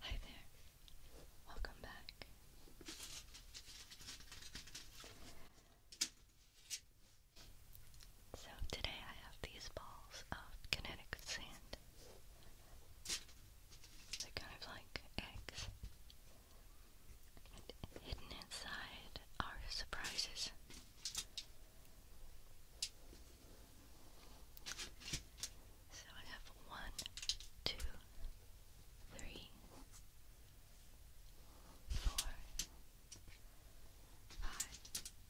Hi there. Welcome back. So today I have these balls of kinetic sand. They're kind of like eggs. And hidden inside are surprises. So I have one, two, three, four, five,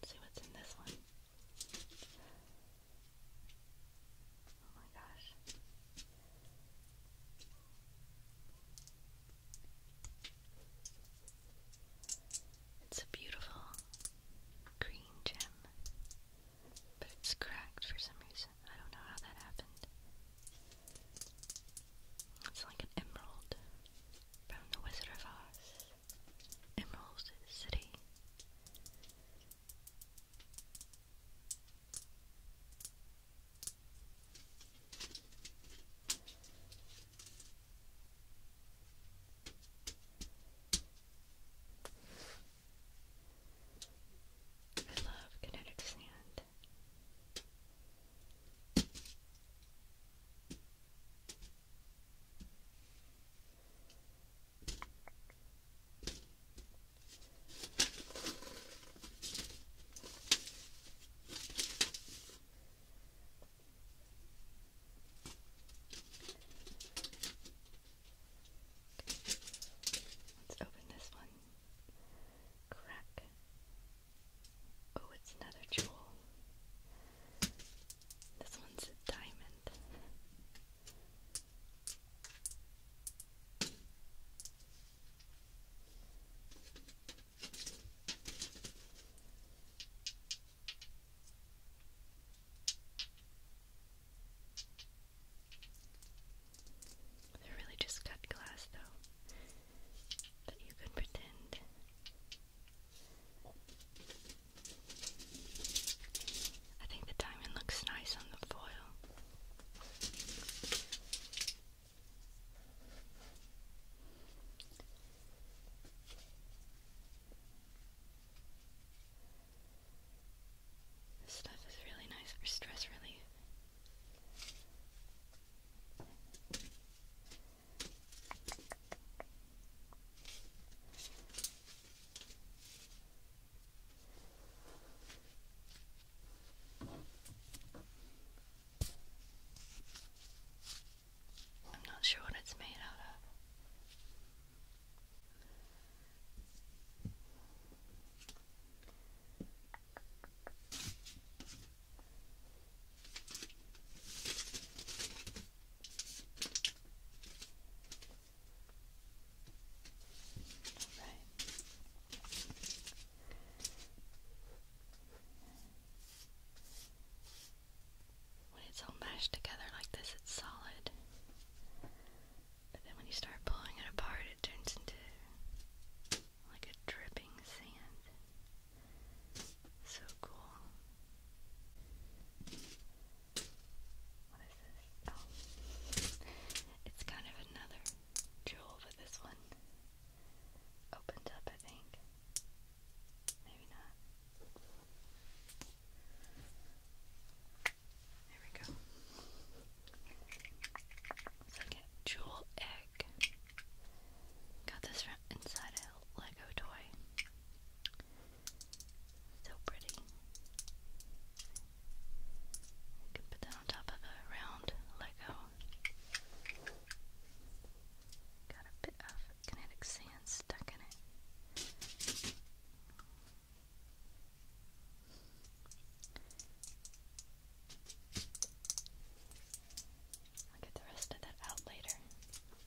Let's see what's in this one. Oh my gosh. It's a beautiful green gem, but it's cracked for some reason. I don't know how that happened. It's like an emerald from the Wizard of Oz. Emerald City. I love kinetic sand. Let's open this one. Crack. Oh, it's another jewel. This one's a diamond. They're really just cut glass, though, that you could pretend I think the diamond looks nice on the foil. This stuff is really nice for stress relief. I'm not sure what it's made out of. When it's all mashed together like this, it's solid. But then when you start pulling it apart, it turns into like a dripping sand. So cool. What is this? Oh. It's kind of another jewel, but this one opened up, I think. Maybe not. There we go. It's jewel egg. Got this Inside Out. Lego toy. So pretty. You put that on top of a round Lego. Got a bit of kinetic sand stuck in it. I'll get the rest of that out later.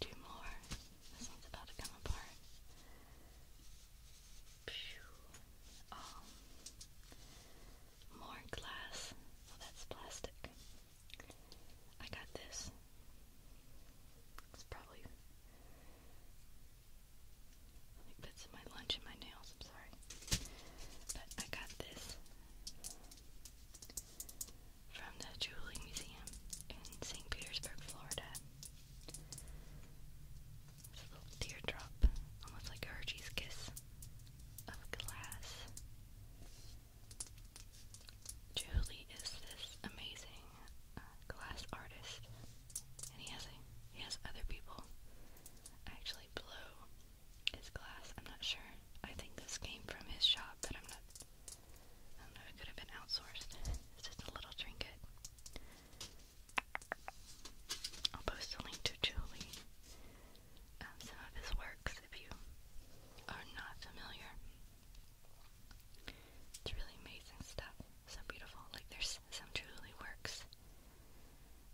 Two more. This one's about to come apart. Um, more glass. Well, oh, that's plastic. I got this. It's probably. It fits in my lunch and my nails, I'm sorry. But I got this from the Jewelry Museum in St. Petersburg, Florida. It's little teardrop, almost like a Hershey's Kiss of glass. Julie is this amazing uh, glass artist, and he has he has other people actually blow his glass, I'm not sure. I think this came from his shop, but I'm not. I don't know, it could have been outsourced. It's just a little trinket. I'll post a link to Julie um, some of his works if you are not familiar. It's really amazing stuff. So beautiful. Like, there's some Julie works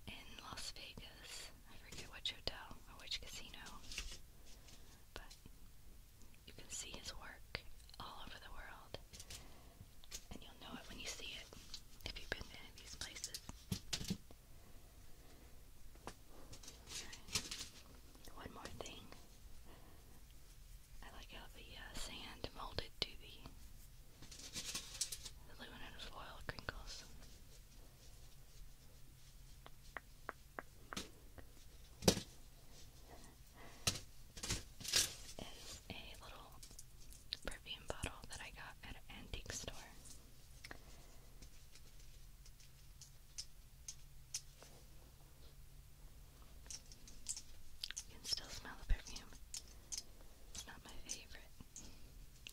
in Las Vegas. I forget which hotel or which casino, but you can see his work all over the world, and you'll know it when you see it if you've been to these places. One more thing. I like how the uh, sand molded to the aluminum foil crinkles is a little perfume bottle that I got at an antique store. You can still smell the perfume. It's not my favorite,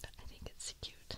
but I think it's cute.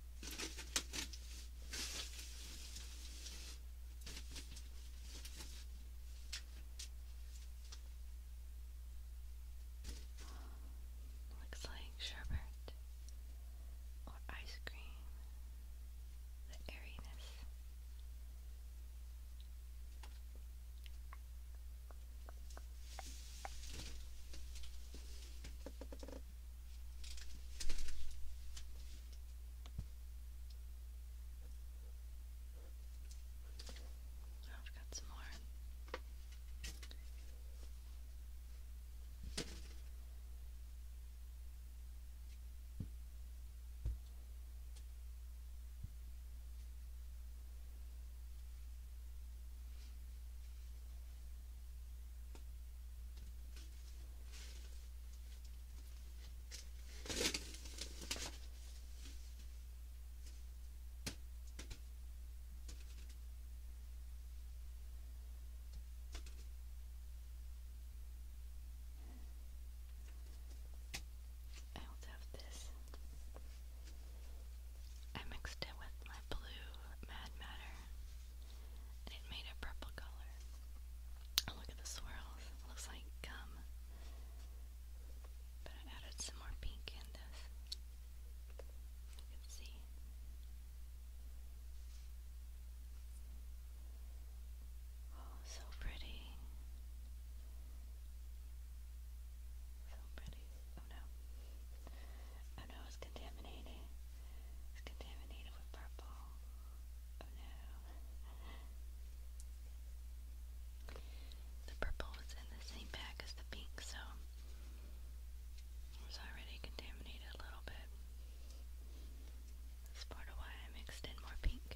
Looks like sherbet or ice cream. The airiness. Oh, I've got some more. I also have this. I mixed it with my blue Mad Matter and it made a purple color. Oh, look at the swirls. looks like gum. But I added some more pink in this. You can see. Oh, so pretty. So pretty. Oh no. Oh no, it's contaminated. It's contaminated with purple. Oh, no. The purple was in the same bag as the pink, so it was already contaminated a little bit. That's part of why I mixed in more pink.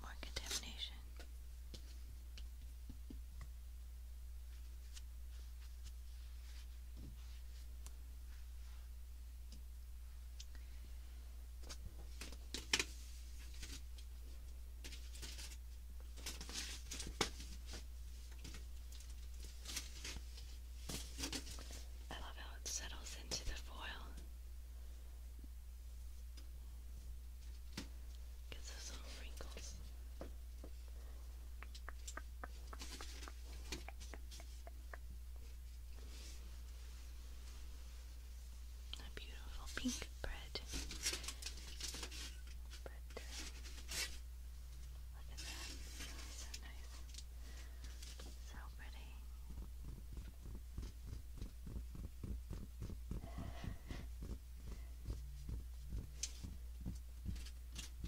more contamination. I love how it settles into the foil. Gets those little wrinkles. A beautiful pink bread. bread. Look at that. So nice. So pretty.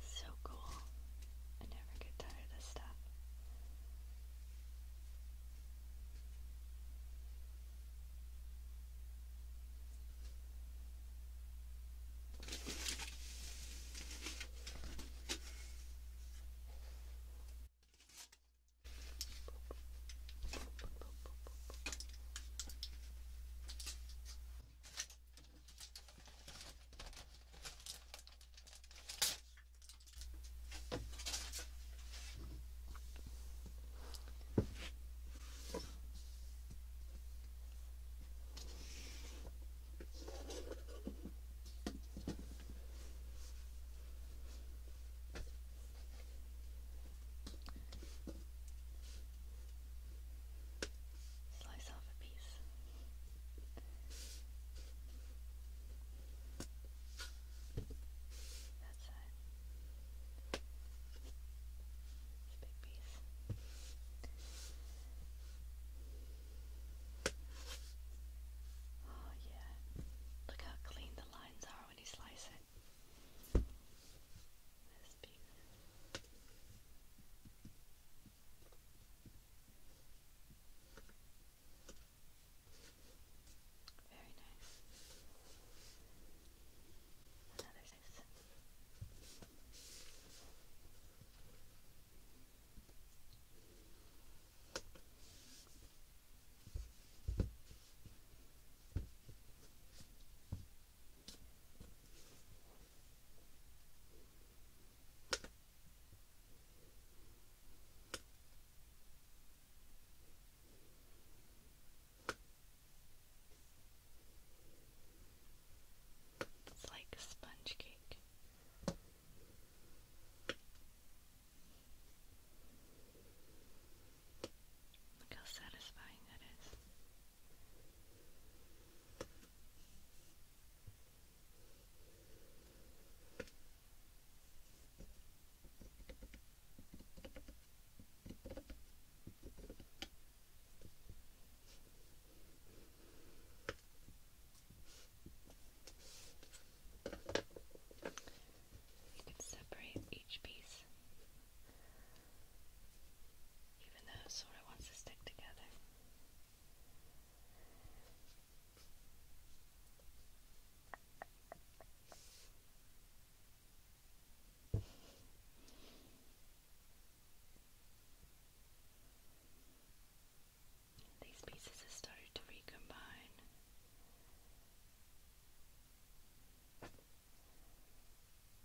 So cool. I never get tired of stuff. Slice off a piece. That side. It's a big piece. Oh yeah. Look how clean the lines are when you slice it. This piece. Very nice. Another six. Very it's like sponge cake. Look how satisfying that is. You can separate each piece, even though it wants to stick together. These pieces have started to recombine.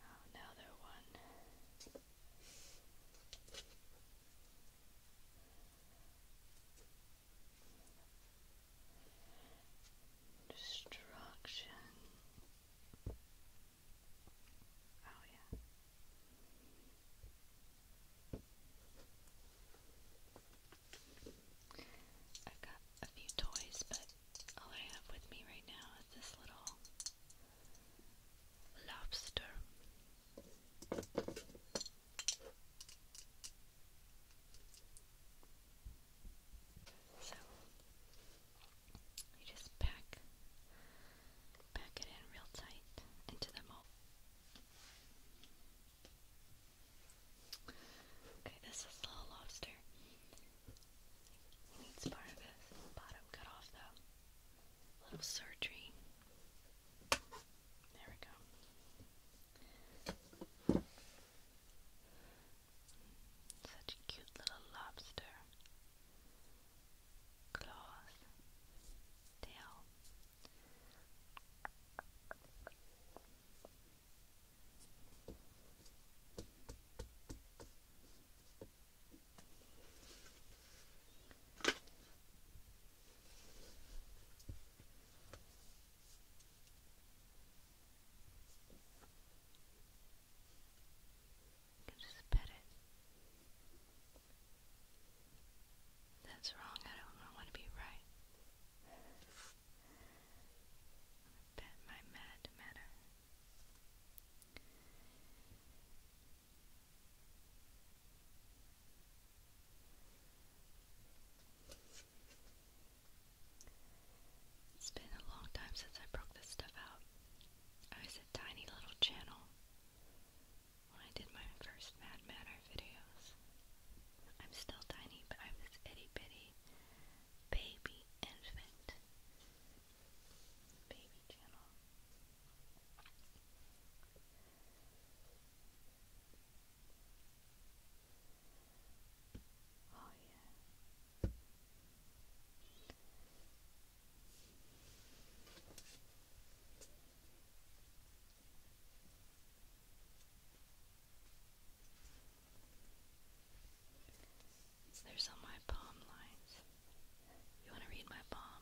Oh, one. Destruction. Oh, yeah. i got a few toys, but all I have with me right now is this little lobster. So you just pack pack it in real tight into the mold. Okay, this is little lobster. needs part of his bottom cut off though. A little surgery. There we go. Such a cute little lobster. Claws. Tail. You just pet it. That's wrong. I don't want to be right. Bet my mad matter. It's been a long time since I broke this stuff out. I was a tiny little channel when I did my first Mad Matter videos. I'm still tiny, but I'm this itty bitty baby infant baby channel. Oh, There's all my palm lines. You want to read my palm?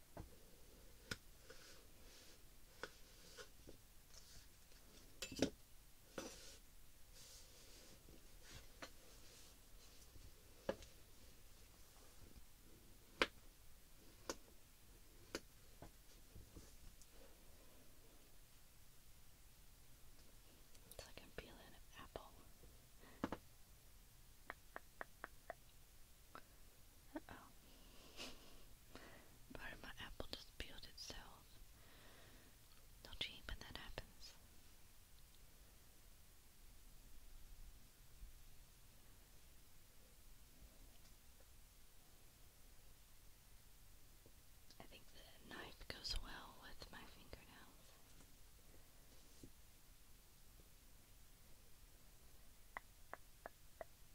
It's like I'm peeling an apple. Uh-oh. Part of my apple just peeled itself. Don't you hate when that happens? I think the knife goes well with my fingernails.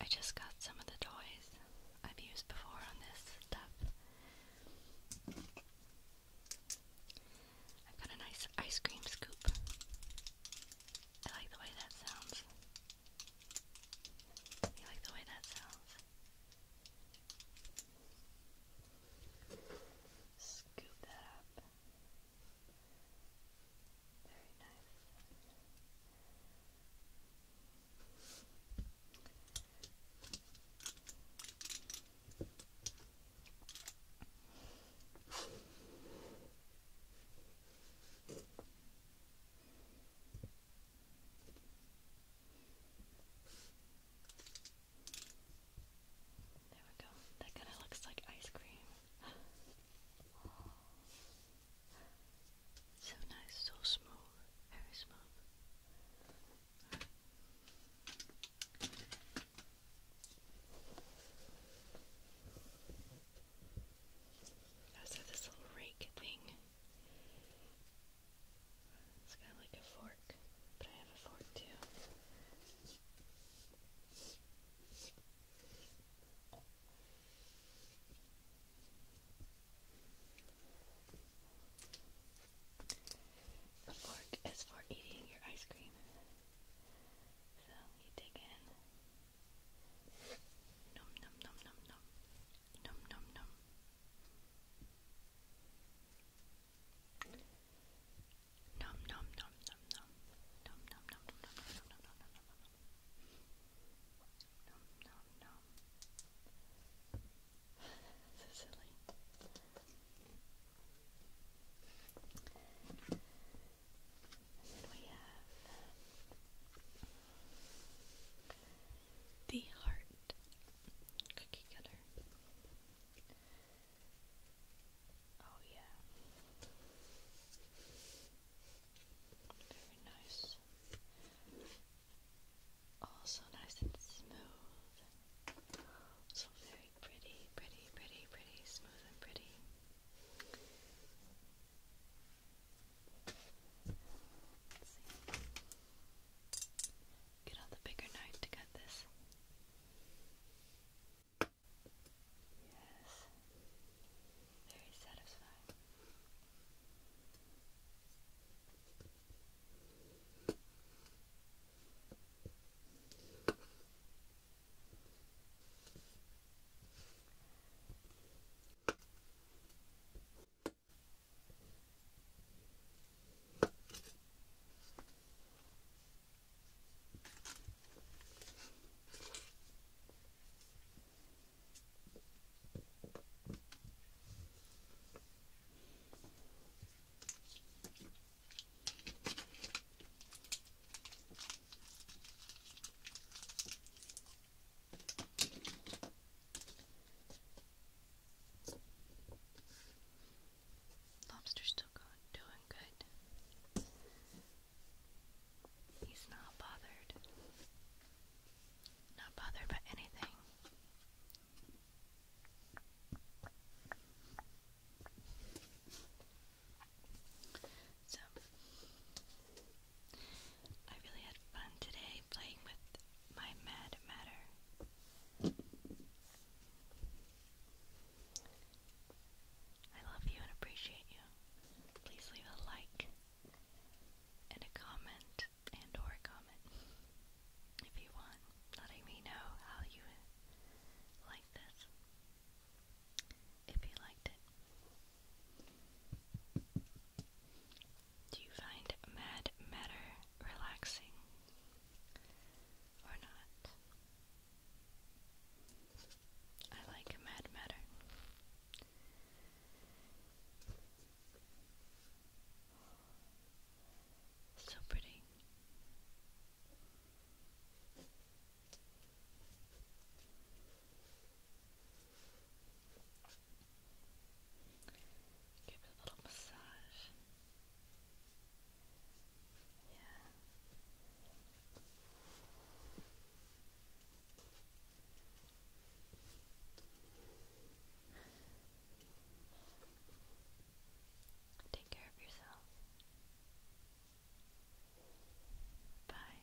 I just got some of the toys I've used before on this stuff. i got a nice ice cream scoop. I like the way that sounds. You like the way that sounds? Scoop that up. There we go. That kind of looks like ice cream. So nice, so smooth, very smooth. Also, this little rake thing. It's kind of like a fork, but I have a fork too. The fork is for eating your ice cream. So you dig in. Nom nom nom nom nom. Nom nom nom. Nom nom nom nom nom. Nom nom nom nom nom nom nom nom nom nom Nom nom nom. so silly. then we have the heart cookie cutter. Oh yeah. Very nice. Also nice and smooth. So very pretty, pretty, pretty, pretty, smooth and pretty. Get out the bigger knife to cut this. Yes very satisfying. Lobster's still going, doing good. He's not bothered. Not bothered by anything. So, I really had fun today playing with my mad matter. I love you and appreciate you. Please leave a like and a comment and or comment if you want, letting me know how you like this. If you liked it. Do you find Mad Matter relaxing or not? I like Mad Matter. So pretty. Give it a little massage. Yeah. Take care of yourself. Bye.